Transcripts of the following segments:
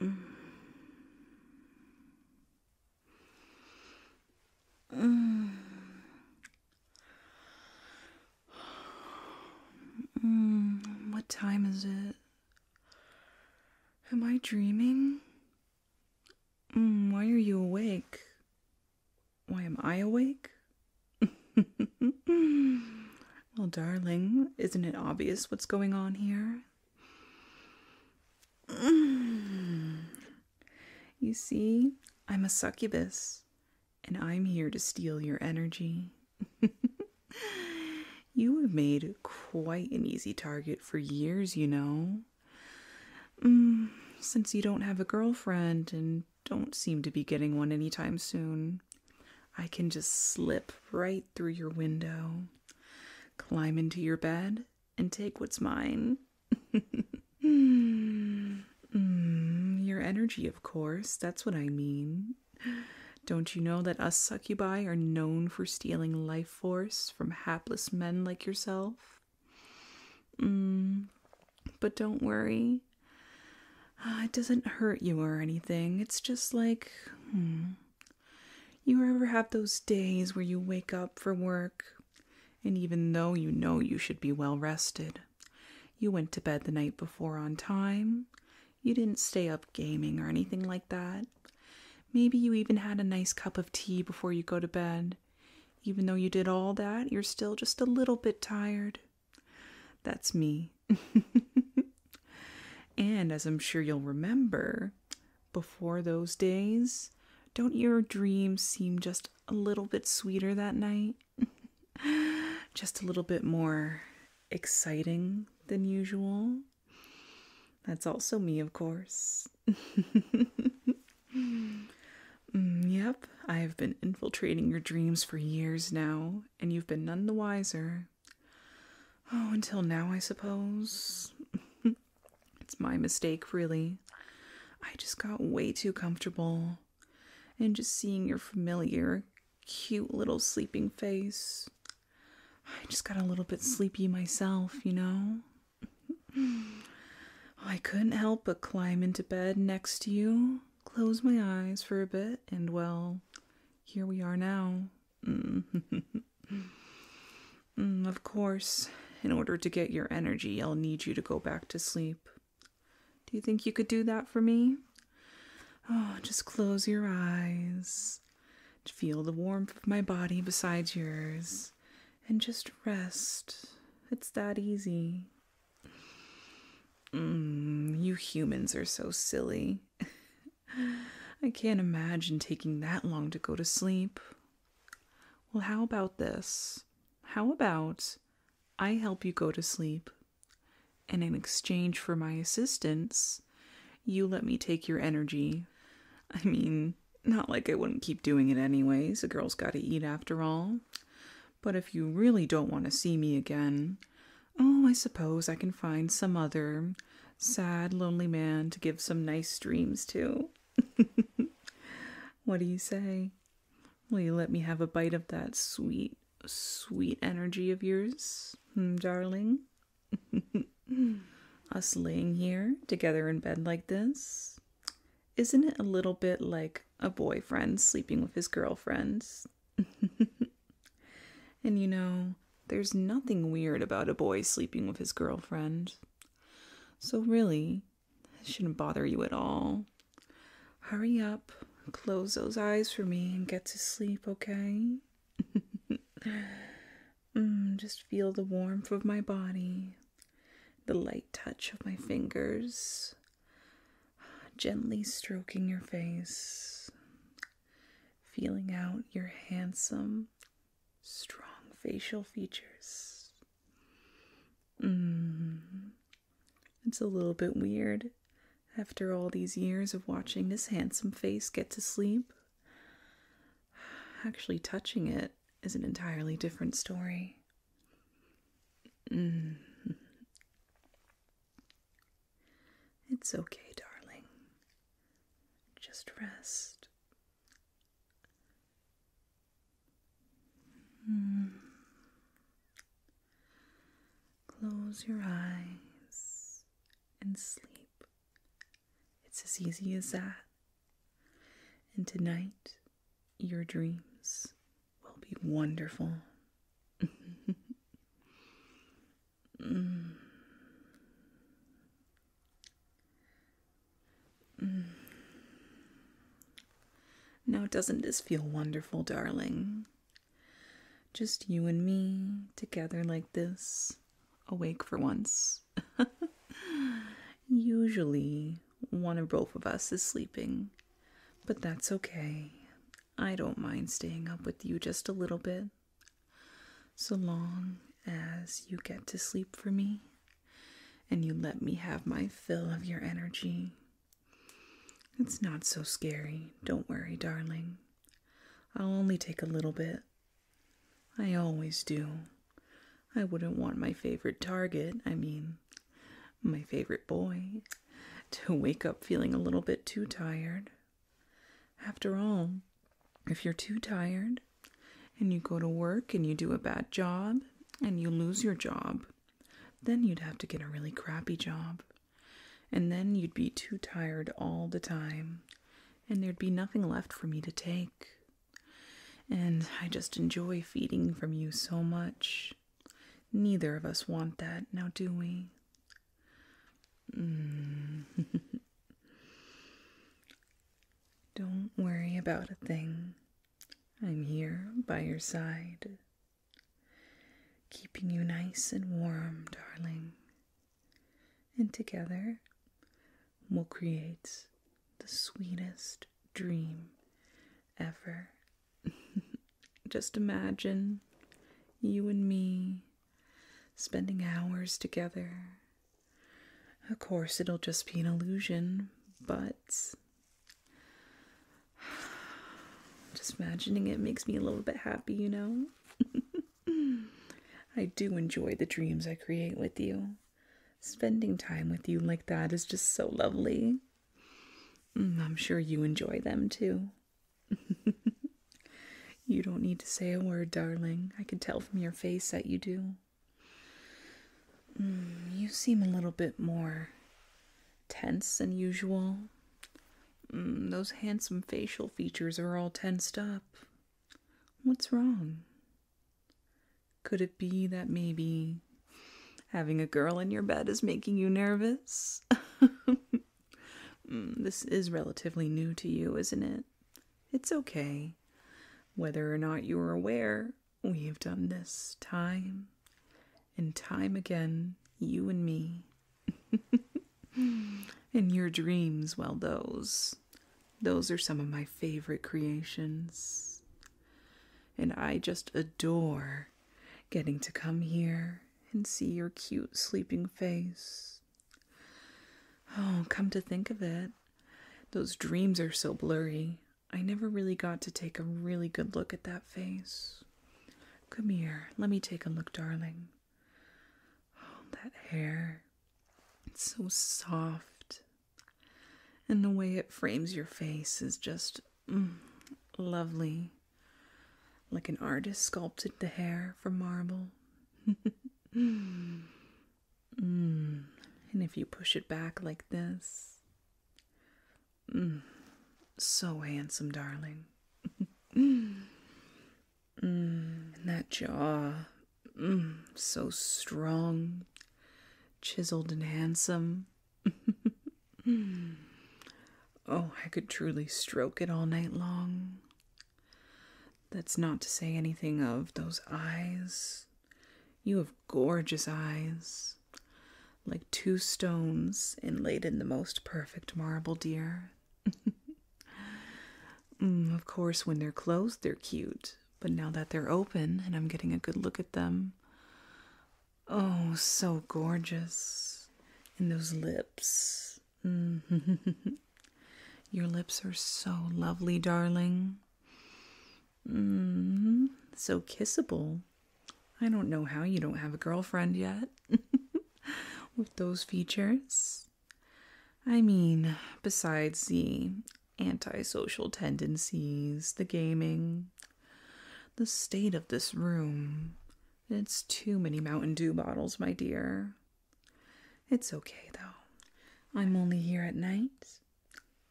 Mm. Mm. Mm. What time is it? Am I dreaming? Mm, why are you awake? Why am I awake? Well, darling, isn't it obvious what's going on here? You see, I'm a succubus, and I'm here to steal your energy. you have made quite an easy target for years, you know. Mm, since you don't have a girlfriend and don't seem to be getting one anytime soon, I can just slip right through your window, climb into your bed, and take what's mine. Mm, your energy, of course, that's what I mean. Don't you know that us succubi are known for stealing life force from hapless men like yourself? Mm, but don't worry. Uh, it doesn't hurt you or anything. It's just like, hmm. You ever have those days where you wake up for work, and even though you know you should be well rested, you went to bed the night before on time, you didn't stay up gaming or anything like that. Maybe you even had a nice cup of tea before you go to bed. Even though you did all that, you're still just a little bit tired. That's me. and as I'm sure you'll remember, before those days, don't your dreams seem just a little bit sweeter that night? just a little bit more exciting than usual? That's also me, of course. Mm, yep, I have been infiltrating your dreams for years now, and you've been none the wiser. Oh, until now, I suppose. it's my mistake, really. I just got way too comfortable. And just seeing your familiar, cute little sleeping face. I just got a little bit sleepy myself, you know? I couldn't help but climb into bed next to you, close my eyes for a bit, and well, here we are now. Mm. Mm, of course, in order to get your energy, I'll need you to go back to sleep. Do you think you could do that for me? Oh, just close your eyes. Feel the warmth of my body beside yours. And just rest. It's that easy. Mm, you humans are so silly. I can't imagine taking that long to go to sleep. Well, how about this? How about I help you go to sleep, and in exchange for my assistance, you let me take your energy? I mean, not like I wouldn't keep doing it anyways, a girl's gotta eat after all. But if you really don't want to see me again, Oh, I suppose I can find some other sad, lonely man to give some nice dreams to. what do you say? Will you let me have a bite of that sweet, sweet energy of yours, hmm, darling? Us laying here together in bed like this? Isn't it a little bit like a boyfriend sleeping with his girlfriend? and you know, there's nothing weird about a boy sleeping with his girlfriend. So, really, it shouldn't bother you at all. Hurry up, close those eyes for me, and get to sleep, okay? Mm, just feel the warmth of my body, the light touch of my fingers, gently stroking your face, feeling out your handsome, strong facial features. Mm. It's a little bit weird after all these years of watching this handsome face get to sleep. Actually, touching it is an entirely different story. Mm. It's okay, darling. Just rest. Hmm. Close your eyes and sleep. It's as easy as that. And tonight, your dreams will be wonderful. Mm. Mm. Mm. Now, doesn't this feel wonderful, darling? Just you and me together like this, awake for once. Usually, one or both of us is sleeping, but that's okay. I don't mind staying up with you just a little bit, so long as you get to sleep for me and you let me have my fill of your energy. It's not so scary, don't worry, darling. I'll only take a little bit. I always do. I wouldn't want my favorite target, I mean, my favorite boy, to wake up feeling a little bit too tired. After all, if you're too tired and you go to work and you do a bad job and you lose your job, then you'd have to get a really crappy job. And then you'd be too tired all the time, and there'd be nothing left for me to take. And I just enjoy feeding from you so much. Neither of us want that, now do we? Mm. Don't worry about a thing. I'm here by your side, keeping you nice and warm, darling. And together, we'll create the sweetest dream ever. Just imagine you and me spending hours together. Of course, it'll just be an illusion, but just imagining it makes me a little bit happy, you know? I do enjoy the dreams I create with you. Spending time with you like that is just so lovely. Mm, I'm sure you enjoy them too. you don't need to say a word, darling. I can tell from your face that you do. Mm, you seem a little bit more tense than usual. Mm, those handsome facial features are all tensed up. What's wrong? Could it be that maybe Having a girl in your bed is making you nervous. Mm, this is relatively new to you, isn't it? It's okay. Whether or not you are aware, we have done this time and time again, you and me. and your dreams, well, those. Those are some of my favorite creations. And I just adore getting to come here and see your cute sleeping face. Oh, come to think of it, those dreams are so blurry. I never really got to take a really good look at that face. Come here, let me take a look, darling. Oh, that hair. It's so soft. And the way it frames your face is just mm, lovely like an artist sculpted the hair from marble. And if you push it back like this, mm. so handsome, darling. Mm. And that jaw, mm. so strong, chiseled, and handsome. oh, I could truly stroke it all night long. That's not to say anything of those eyes. You have gorgeous eyes, like two stones inlaid in the most perfect marble, dear. Mm, of course, when they're closed, they're cute, but now that they're open and I'm getting a good look at them, Oh, so gorgeous. And those lips. Mm. Your lips are so lovely, darling. Mm-hmm. So kissable. I don't know how you don't have a girlfriend yet with those features. I mean, besides the antisocial tendencies, the gaming, the state of this room. It's too many Mountain Dew bottles, my dear. It's okay, though. I'm only here at night.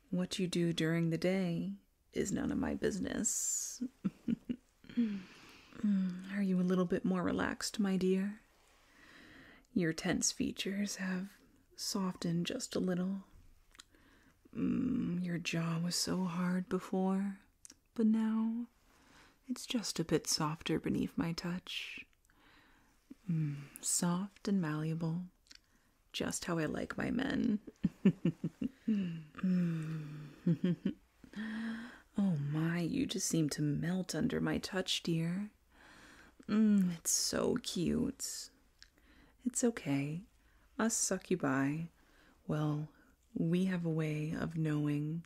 What you do during the day is none of my business. Are you a little bit more relaxed, my dear? Your tense features have softened just a little. Mm, your jaw was so hard before, but now it's just a bit softer beneath my touch. Mm, soft and malleable, just how I like my men. oh my, you just seem to melt under my touch, dear. Mm, it's so cute. It's okay. Us succubi, well, we have a way of knowing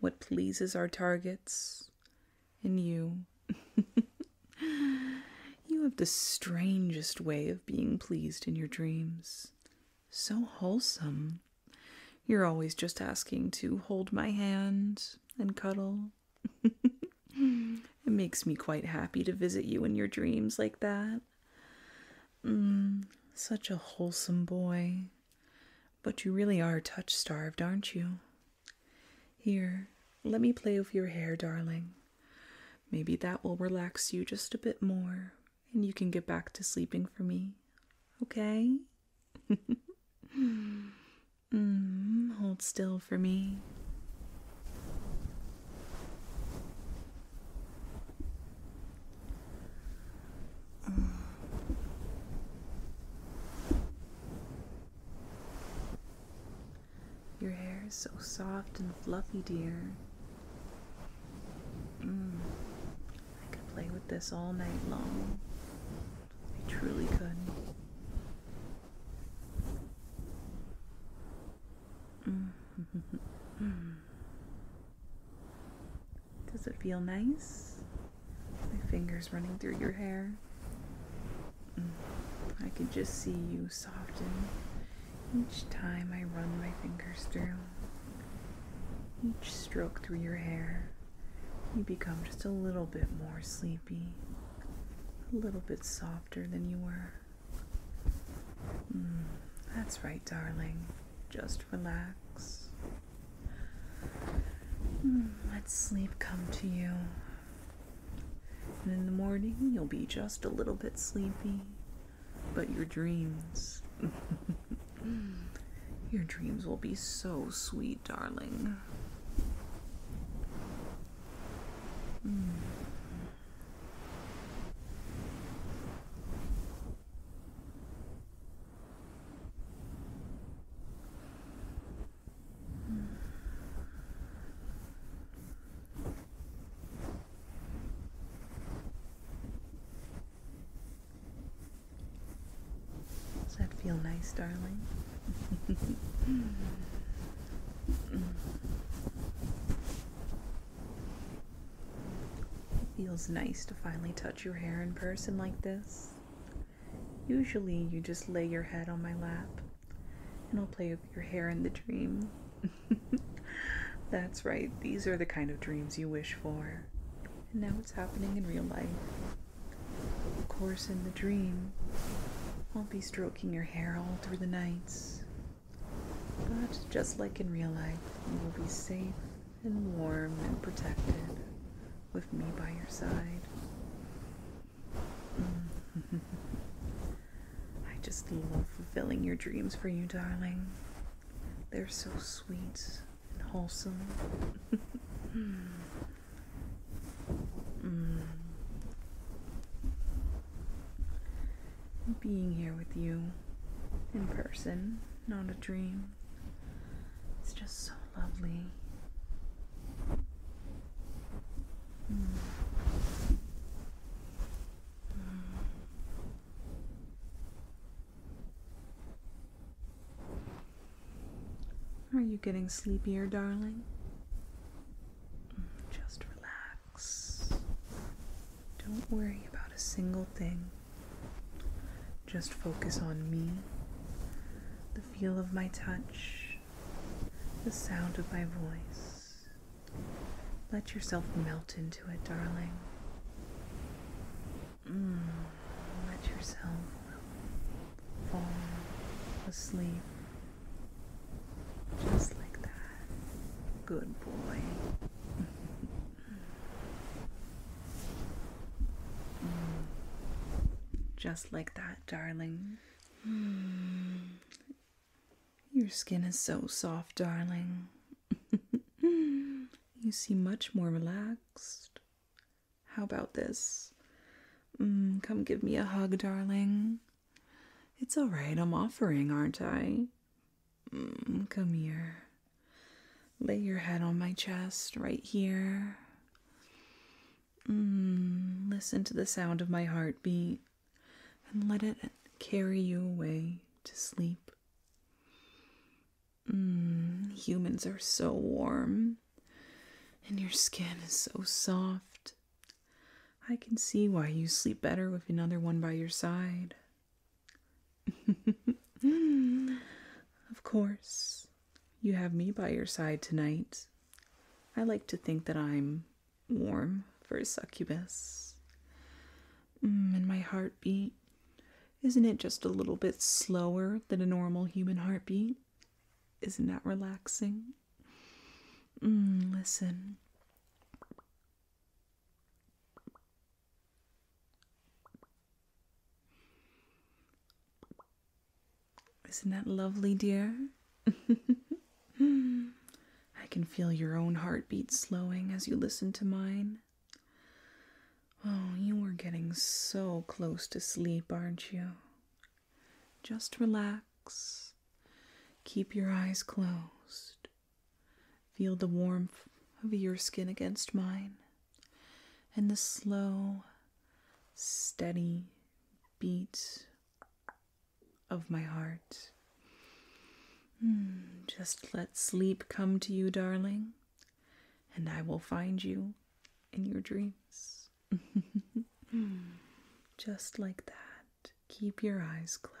what pleases our targets. And you, you have the strangest way of being pleased in your dreams. So wholesome. You're always just asking to hold my hand and cuddle. it makes me quite happy to visit you in your dreams like that. Mm, such a wholesome boy. But you really are touch starved, aren't you? Here, let me play with your hair, darling. Maybe that will relax you just a bit more, and you can get back to sleeping for me. Okay? mm, hold still for me. Mm. Your hair is so soft and fluffy, dear. Mm. I could play with this all night long. I truly could. Mm. Does it feel nice? My fingers running through your hair. Mm. I can just see you soften each time I run my fingers through. Each stroke through your hair, you become just a little bit more sleepy, a little bit softer than you were. Mm, that's right, darling. Just relax. Mm, let sleep come to you. And in the morning, you'll be just a little bit sleepy, but your dreams. your dreams will be so sweet, darling. Mm. Does that feel nice, darling? Mm. It feels nice to finally touch your hair in person like this. Usually, you just lay your head on my lap and I'll play with your hair in the dream. That's right, these are the kind of dreams you wish for. And now it's happening in real life. Of course, in the dream, I'll be stroking your hair all through the nights, but just like in real life, you will be safe and warm and protected with me by your side. Mm. I just love fulfilling your dreams for you, darling. They're so sweet and wholesome. Mm being here with you in person, not a dream. It's just so lovely. Mm. Are you getting sleepier, darling? Mm, just relax. Don't worry about a single thing. Just focus on me, the feel of my touch, the sound of my voice. Let yourself melt into it, darling. Mm, let yourself fall asleep just like that. Good boy. Mm. Just like that, darling. Mm. Your skin is so soft, darling. you seem much more relaxed. How about this? Mm, come give me a hug, darling. It's all right, I'm offering, aren't I? Mm, come here. Lay your head on my chest right here. Mm, listen to the sound of my heartbeat and let it carry you away to sleep. Mm, humans are so warm, and your skin is so soft. I can see why you sleep better with another one by your side. of course, you have me by your side tonight. I like to think that I'm warm for a succubus. Mm, and my heartbeat, isn't it just a little bit slower than a normal human heartbeat? Isn't that relaxing? Mm, listen. Isn't that lovely, dear? I can feel your own heartbeat slowing as you listen to mine. Oh, you are getting so close to sleep, aren't you? Just relax. Keep your eyes closed. Feel the warmth of your skin against mine and the slow, steady beat of my heart. Hmm, just let sleep come to you, darling, and I will find you in your dreams. Just like that. Keep your eyes closed.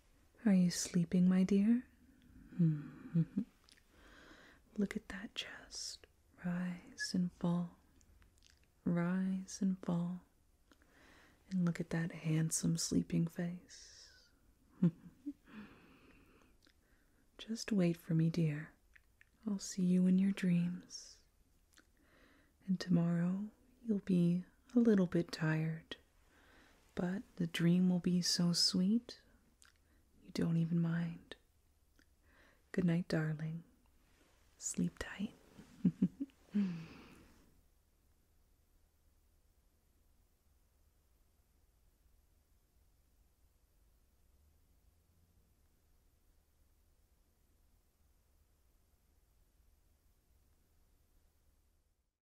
Are you sleeping, my dear? Hmm. Look at that chest rise and fall, rise and fall. And look at that handsome sleeping face. Just wait for me, dear. I'll see you in your dreams. And tomorrow you'll be a little bit tired. But the dream will be so sweet, you don't even mind. Good night, darling. Sleep tight.